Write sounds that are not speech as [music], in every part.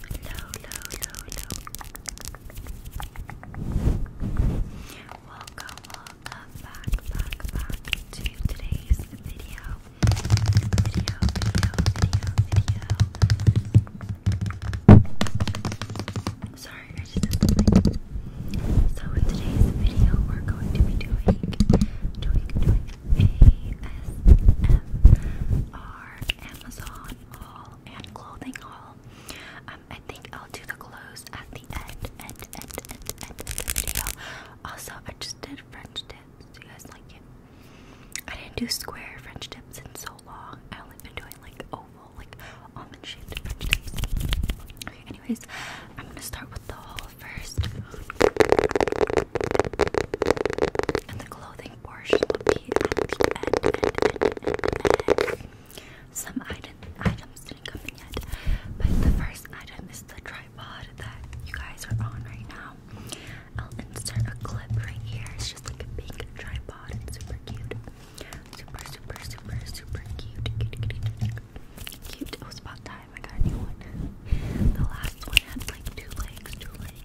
Hello, hello, hello. Welcome, welcome back, back, back to today's video. Video, video, video, video. Sorry, I just So in today's video, we're going to be doing, doing, doing ASMR Amazon haul and clothing haul. Um, I think I'll do the clothes at the end, end, end, end, end of the video. Also, I just did French tips. Do you guys like it? I didn't do square French tips in so long. I only been doing like oval, like almond shaped French tips. Okay, anyways, I'm gonna start with the haul first. And the clothing portion will be some items didn't come in yet, but the first item is the tripod that you guys are on right now. I'll insert a clip right here. It's just like a big tripod. It's super cute. Super, super, super, super cute. Cute, cute, cute. It was about time I got a new one. The last one had like two legs.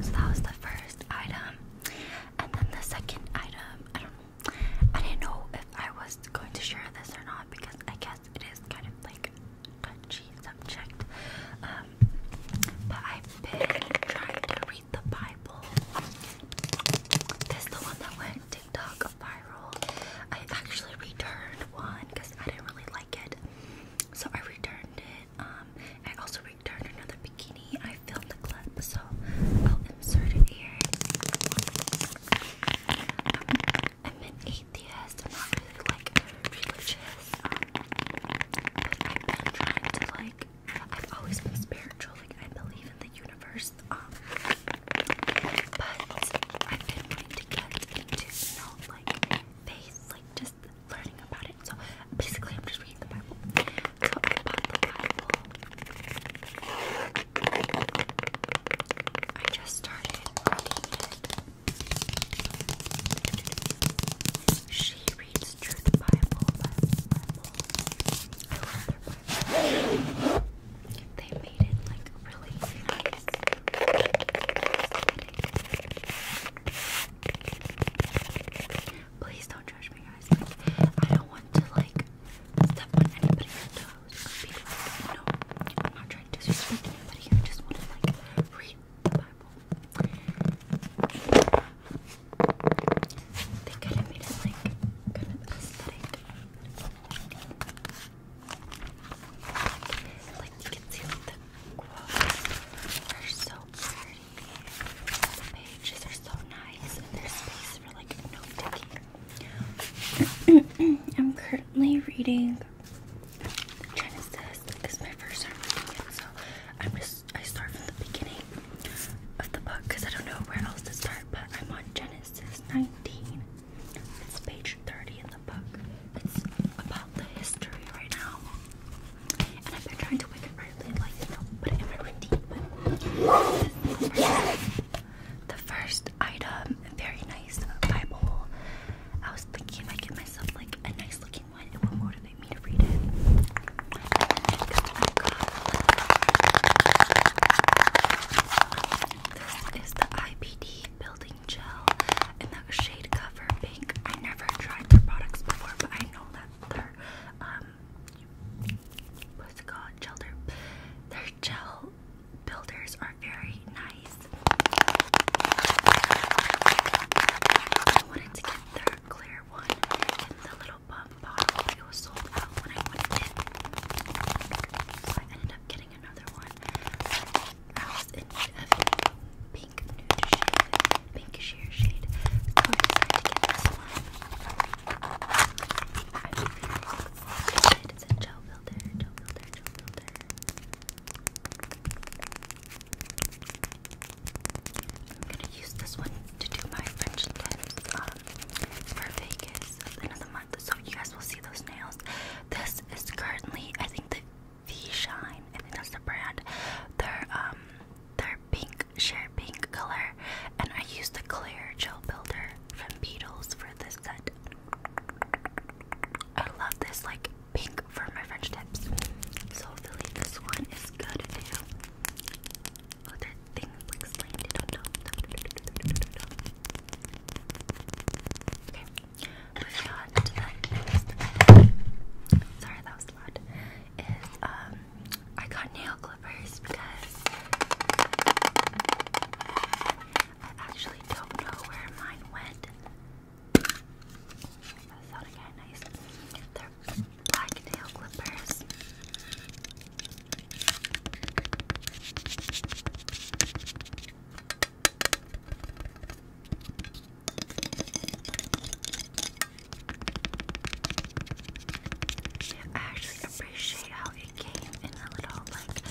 So that was the first item. And then the second item, I don't know. I didn't know if I was going to share this or not because I guess it is kind of like a touchy subject. Um, but I've been trying to read the Bible. This is the one that went TikTok viral. I actually returned one because I didn't really like so I returned it. Um, I also returned another bikini. I filmed the clip, so I'll insert it here. Um, I'm an atheist. I'm not really like religious. Um, I've been trying to like. I've always been spiritual. Like I believe in the universe. Um, but I've been to know, like faith, like just learning about it. So basically, I'm just reading the Bible. So I the Bible. I just started reading it. She reads Truth Bible, Bible, I love their Bible. They made it like really Please don't judge me, guys. I don't want to like step on anybody's toes. no, I'm not trying to disrespect anybody. I just want to like read the Bible. They kind of made it like kind aesthetic. I'm currently reading Genesis because my first time reading it, so I'm just I start from the beginning of the book because I don't know where else to start, but I'm on Genesis 19. It's page 30 in the book. It's about the history right now. And I've been trying to wake up early, like, you know, put But the first item, very nice Bible. I was thinking if I get myself like a nice looking one, it will motivate me to read it. this is the IPD Building Gel in the shade Cover Pink. I never tried their products before, but I know that their, um, what's it Gel, their, gel builders are very nice. I wanted to get their clear one in the little pump bottle, it was sold out when I wanted it. I ended up getting another one. I was in need of pink pink sheer shade. I am gonna use this one to do my French tips um, for Vegas at the month so you guys will see those nails. This is currently, I think, the V Shine. I think that's the brand. They're um, they're pink, sheer pink color, and I used the clear gel builder from Beetles for this set. I love this like pink for my French tips. So hopefully this one is good too. Oh, Okay, Moving on Sorry, that was loud. Is um, I got nail clippers because I actually don't know where mine went. That sounded nice. They're black nail clippers. I actually appreciate how it came in a little like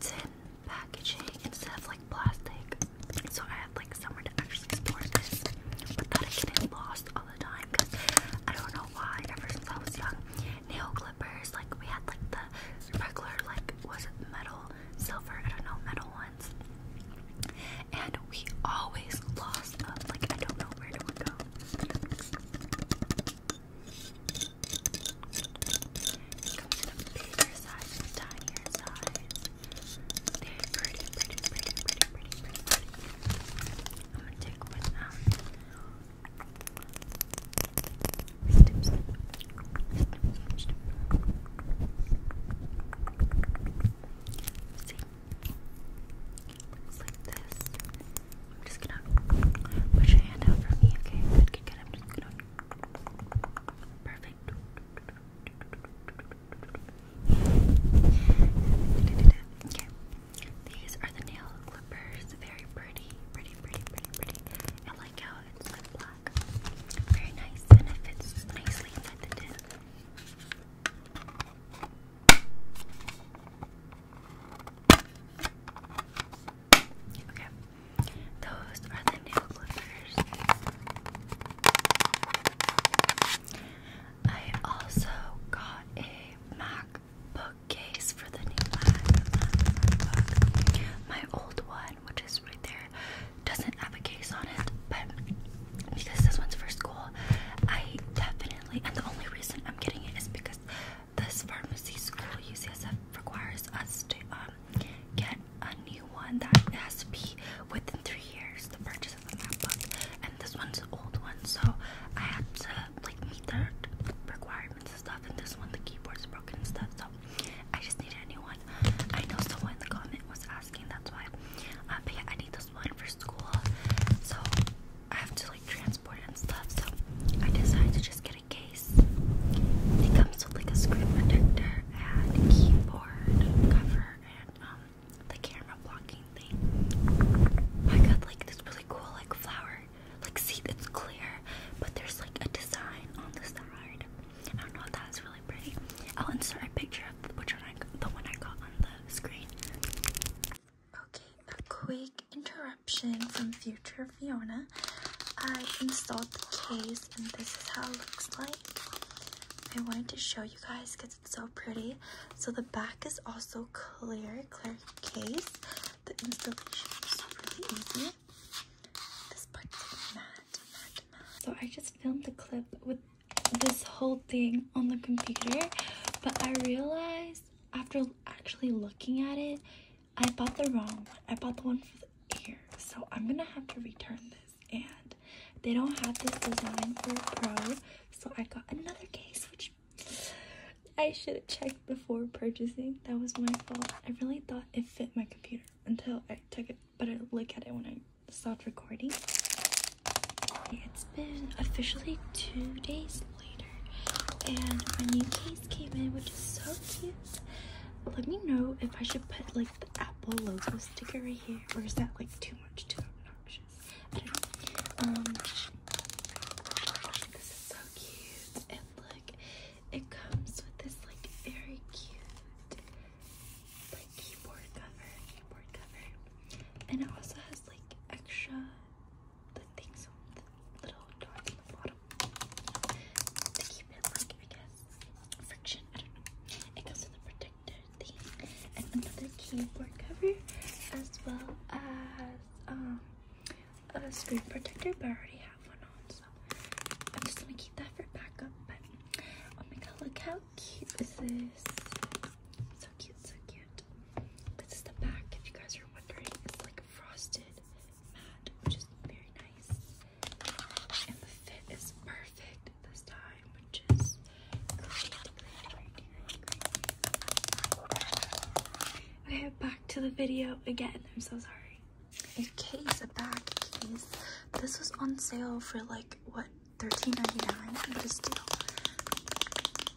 tin packaging instead of like plastic. So I had like somewhere to actually store this But without it getting lost all the time because I don't know why ever since I was young nail clippers. Like we had like the regular like was it metal, silver, I don't know, metal ones. And we always lost them. Like I don't know where it would go. Snip, snip. like this. I'm just gonna put your hand out for me, okay? Good, good, good. i just Perfect. Okay. These are the nail clippers. Very pretty, pretty, pretty, pretty. I like how it's Very nice, and nicely inside the tin. Okay, those are the nail clippers. I also got a MacBook Case for the new MacBook. My old one, which is right there, doesn't have a case on it, but because this one's for school, I definitely, and the only reason I'm getting it is because this pharmacy school, UCSF, requires us to um, get a new one that has to be within three years, the purchase of the MacBook, and this one's an old one, so I had to like meet their requirements and stuff, and this one the keyboard's broken and stuff, so I just needed a new one. I know someone in the comment was asking, that's why. Um, but yeah, I need this one for school, so I have to like transport it and stuff. So I decided to just get a case. It comes with like a screen protector and keyboard cover and um, the camera blocking thing. I got like this really cool like flower like, see, it's clear, but there's like a design on the side. I don't know if that's really pretty. I'll insert a picture of which one I the one I got on the screen. Okay, a quick interruption from future Fiona. I installed the case, and this is how it looks like. I wanted to show you guys because it's so pretty. So the back is also clear, clear case. The installation is really easy. So I just filmed the clip with this whole thing on the computer, but I realized after actually looking at it, I bought the wrong one. I bought the one for the ear, so I'm gonna have to return this. And they don't have this design for Pro, so I got another case, which I should have checked before purchasing. That was my fault. I really thought it fit my computer until I took it, but I look at it when I stopped recording. It's been officially two days later, and my new case came in, which is so cute. Let me know if I should put like the Apple logo sticker right here, or is that like too much, too obnoxious? this um, is so cute. It looks it comes with this like very cute keyboard cover, and it also has like extra things on the little dots on the bottom to keep it like friction. It comes with a protector thing and another keyboard cover as well as um a screen protector, but I already have one on, so I'm just gonna keep that for backup. But oh my god, look how cute this is! So cute, so cute. This is the back, if you guys are wondering. It's like frosted matte, which is very nice. And the fit is perfect this time, which is great, great, great, great, great. Okay, back to the video again. I'm so sorry. A case, a bag case. This was on sale for like what thirteen ninety nine? dollars 99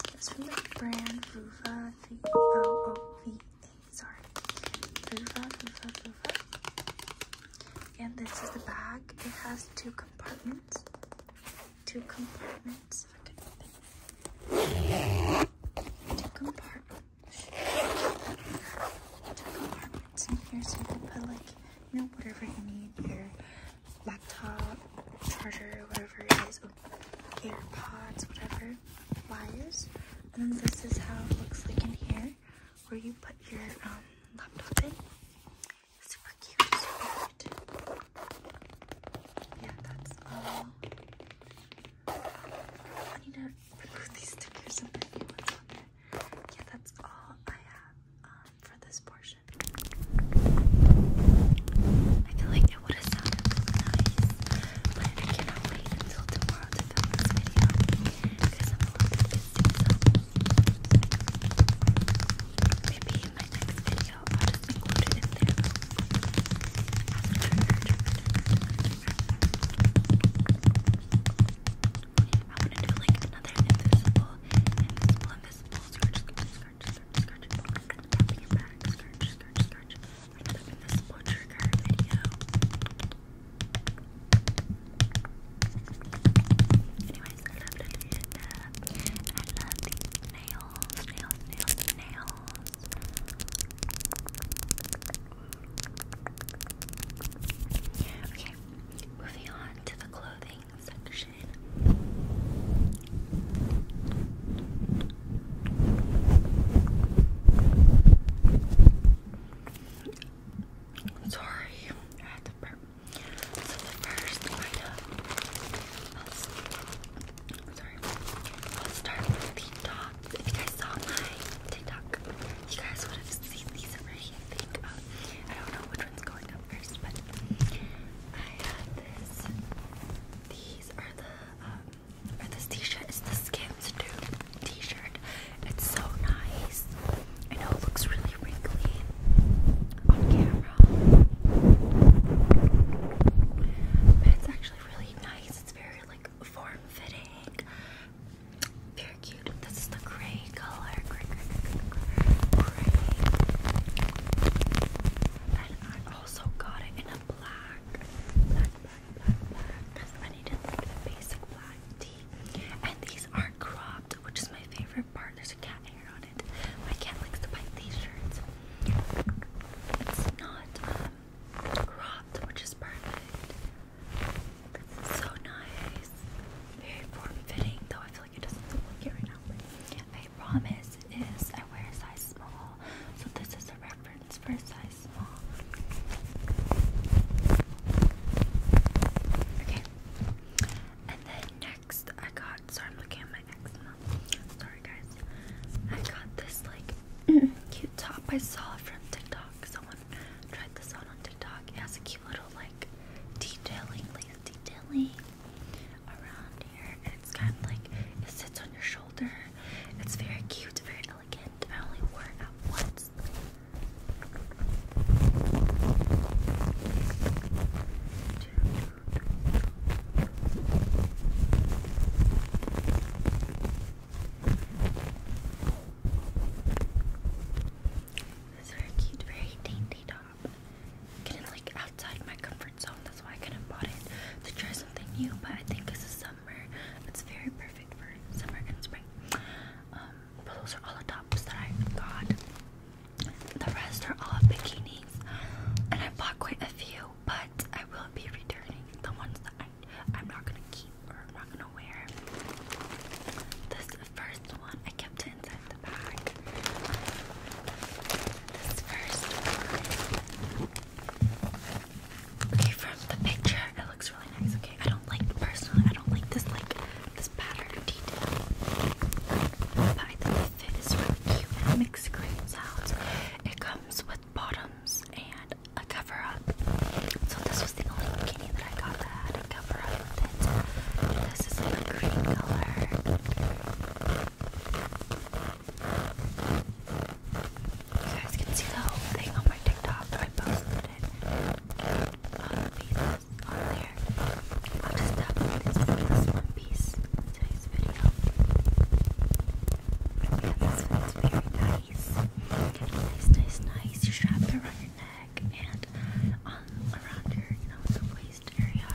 but from the brand Vuva oh, oh, V O O V A. Sorry, Vuva Vuva Vuva. And this is the bag. It has two compartments. Two compartments. Two compartments compartments in here so you can put like, you know, whatever you need, your laptop, charger, or whatever it is, oh, AirPods, whatever, wires. And then this is how it looks like in here, where you put your um, laptop in. Super cute, super cute. Yeah, that's all. I need to remove these stickers and put new ones on there. Yeah, that's all I have um, for this portion. I feel like it would have sounded nice, but I cannot wait until tomorrow to film this video because I'm a little bit busy. So maybe in my next video I'll just include it in there. I want to do like another invisible, invisible, invisible scratch, scratch, scratch, scratch, scratch, tapping it back, scratch, scratch, scratch. Another invisible trigger video. Anyways, I love the lid, and I love these nails, nails, nails, nails. Okay, moving on to the clothing section. Sorry, I had to burp. So the first item Sorry. Let's start the top. If you guys saw my TikTok, you guys would have seen these already, I think. Um, don't know which one's going up first, but I have this. These are the, um, or this t-shirt. the Skims Dude t-shirt. It's so nice. I know it looks really wrinkly on camera. But it's actually really nice. It's very like form fitting. Very cute. This is the gray color. And I also got it in a black. Because I needed a basic black tee. And these are cropped, which is my favorite part. There's a cat hair on it. My cat likes to buy these shirts. It's not um, which is perfect. This is so nice. Very form-fitting, though I feel like it doesn't look like it right now. promise is I wear a size small, so this is a reference for a size small. Okay. And then next I got sorry I'm looking at my eczema. Sorry guys. I got this like [clears throat] cute the top I saw from TikTok. Someone tried this out on TikTok. It has a cute little like detailing, lace detailing around here. And it's kind of like it sits on your shoulder. It's very cute, very elegant. I only wore it once. This is very cute, very dainty top. Getting like outside my comfort zone, that's why I couldn't bought it to try something new. But I think this is summer. It's very perfect for summer and spring. Um, but those are all the tops that I got. The rest are all bikinis, and I bought quite a few but I will be returning the ones that I, I'm not gonna keep or I'm not gonna wear. This first one I kept inside the bag. This first one. Okay, from the picture, it looks really nice. Okay, I don't like personally. I don't like this like this pattern detail, but I fit is really cute and it makes It comes with bottoms and a cover up. So this was the only bikini that I got that had a cover up with it. This is like a green color. You guys can see the whole thing on my TikTok. I posted it on the pieces on there. I'll just upload this, this one piece today's video. This one's very nice. Nice, nice, nice. You strap it around your neck and on around your, you know, waist area.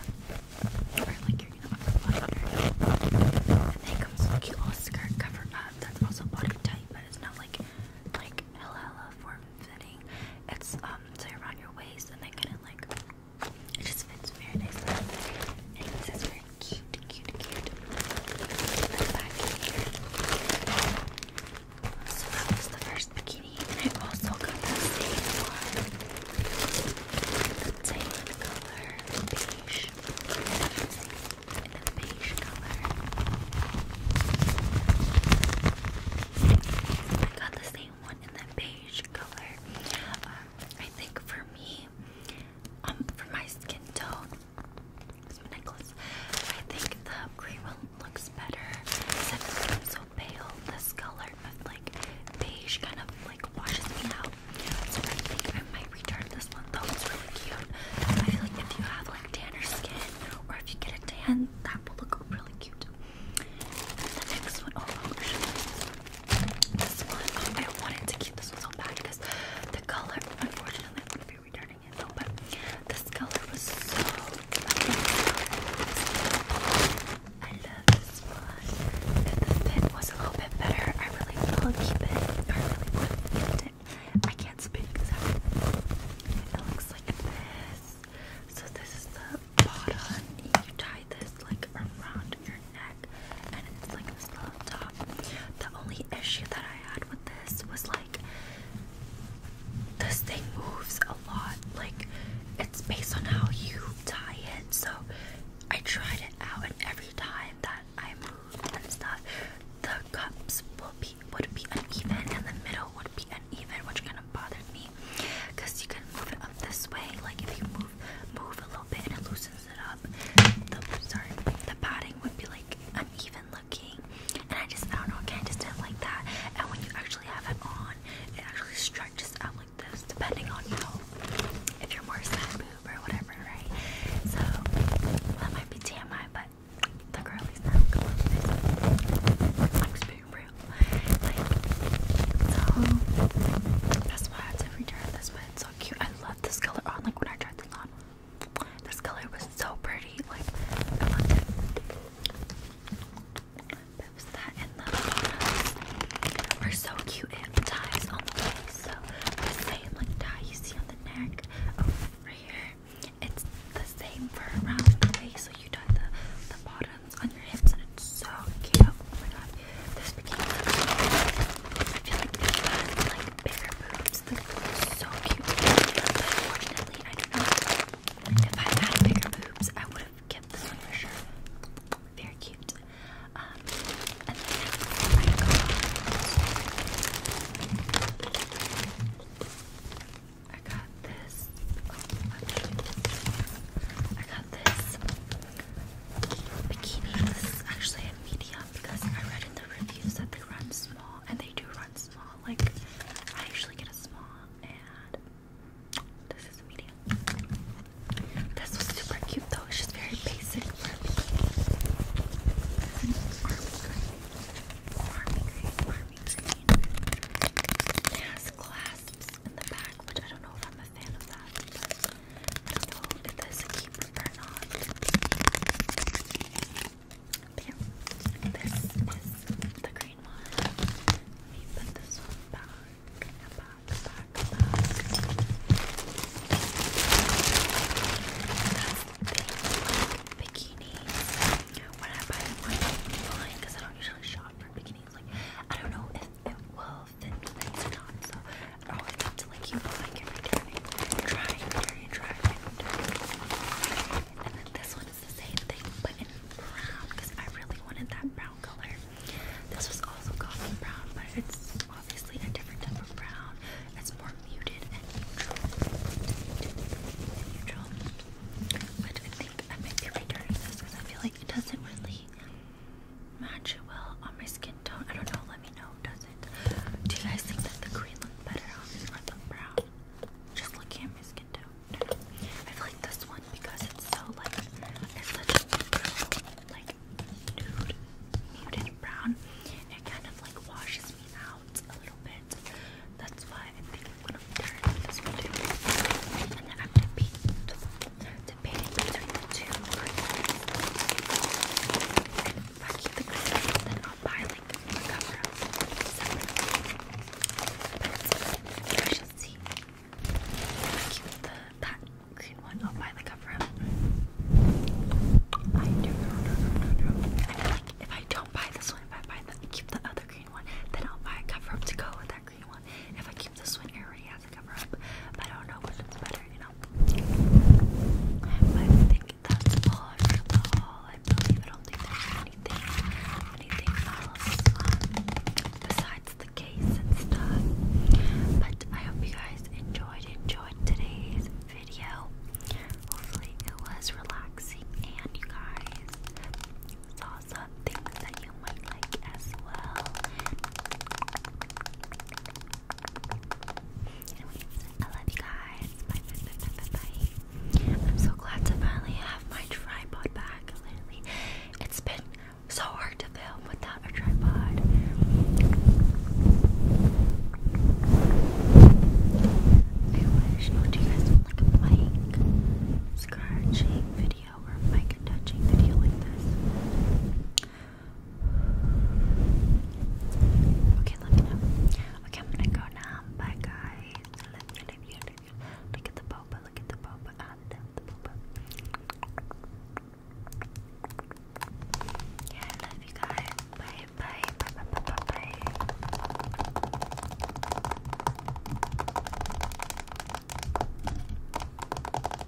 Or like your, you know, upper area. And then comes with cute little skirt cover up that's also body tight, but it's not like like hella form fitting. It's um so around your waist and then kinda like it just fits very nicely cute, cute, cute. So that was the first bikini, I also got the same one. The tan color, beige, and the beige color. I got the same one in the beige color. Um, I think for me, um, for my skin tone. That's necklace. I think the green one looks better. Since so pale, this color like beige kind of like washes me out. So I think I might return this one though. It's really cute. I feel like if you have like tanner skin or if you get a tan, that will look really cute. The next one, oh, actually, this one, um, I wanted to keep this one so bad because the color, unfortunately, I'm going to be returning it though, but this color was so I love this one. And the fit was a little bit better. I really will keep it. I really would have kept it. I can't speak exactly. It looks like this. So this is the bottom. You tie this like around your neck. The only issue that I had with this was like this thing moves a lot. Like it's based on how you tie it. So I tried it out, and every time that I moved and stuff, the cups will be would be uneven, and the middle would be uneven, which kind of bothered me. Cause you can move it up this way, like if you move move a little bit and it loosens messes it up, sorry, the padding would be like uneven looking, and I just don't know, okay, I just do it like that. And when you actually have it on, it actually stretches out like this, depending on you if you're more side boob or whatever, right? So that might be damn TMI, but the girlies now come on this. I'm just being real, so. That's why it's every turn. That's why it's so cute. I love this color on. Oh, like when I tried this on, this color was so pretty. Like I loved it. But are so cute. It ties on So same like tie you see on the neck right here. It's the same for around the waist. So you tie the the bottoms on your hips and it's so cute. Oh my god. This bikini looks so good. I feel like if you had like bigger boobs, this would so cute. unfortunately, I don't If I had bigger boobs, I would have kept this one for sure. Very cute. Um, and then I got, this. Oh, I got this bikinis. Actually, a medium because I read in the reviews that they run small, and they do run small. Like I usually get a small, and this is a medium. This was super cute though. It's just very basic It has clasps in the back, which I don't know if I'm a fan of that. I don't know if that's a keeper or not. But this the green one. Let put this one back, back, back, back. the thing, bikinis. When I buy one online, because I don't usually shop for bikinis, like, I don't know if it will health and things and on. So oh, like keep going and returning, trying, trying, trying, And then this one is the same thing, but in brown because I really wanted that brown color. This was also coffee brown, but it's obviously a different type of brown. It's more muted and neutral. neutral. But I think I might be returning this because I feel like it doesn't really match it well on my skin tone. I don't know. Let me know. Does it? Do you guys think that the green looks better on this or the brown? Just looking at my skin tone. I feel like this one because it's so like it's such a neutral, like muted brown. It kind of like washes me out a little bit. That's why I think I'm gonna turn this one And then I'm gonna paint I keep the crickets, then I'll buy like cover up I shall see. I keep the that green one, I'll buy the cover up. I do no no no no if I don't buy this one, if I buy the keep the other green one, then I'll buy a cover up to go with that green one. If I keep this one, it already I don't know which one's better, you know. But I think that's all for the haul. I believe I don't anything, anything else um, besides the case and stuff. But I hope you guys enjoyed enjoyed today's video. Hopefully it was relaxing and you guys saw some things that you might like as well. I love you guys. Bye, bye, bye, bye, bye, I'm so glad to finally have my tripod back. Literally, it's been so hard to film without a tripod. I wish. Oh, you guys want like a mic scratching video or a mic touching video like this? Okay, let me know. Okay, I'm gonna go now. Bye, guys. Look at the boba, look at the boba. Yeah, I love you guys. bye, bye, bye, bye, bye. bye.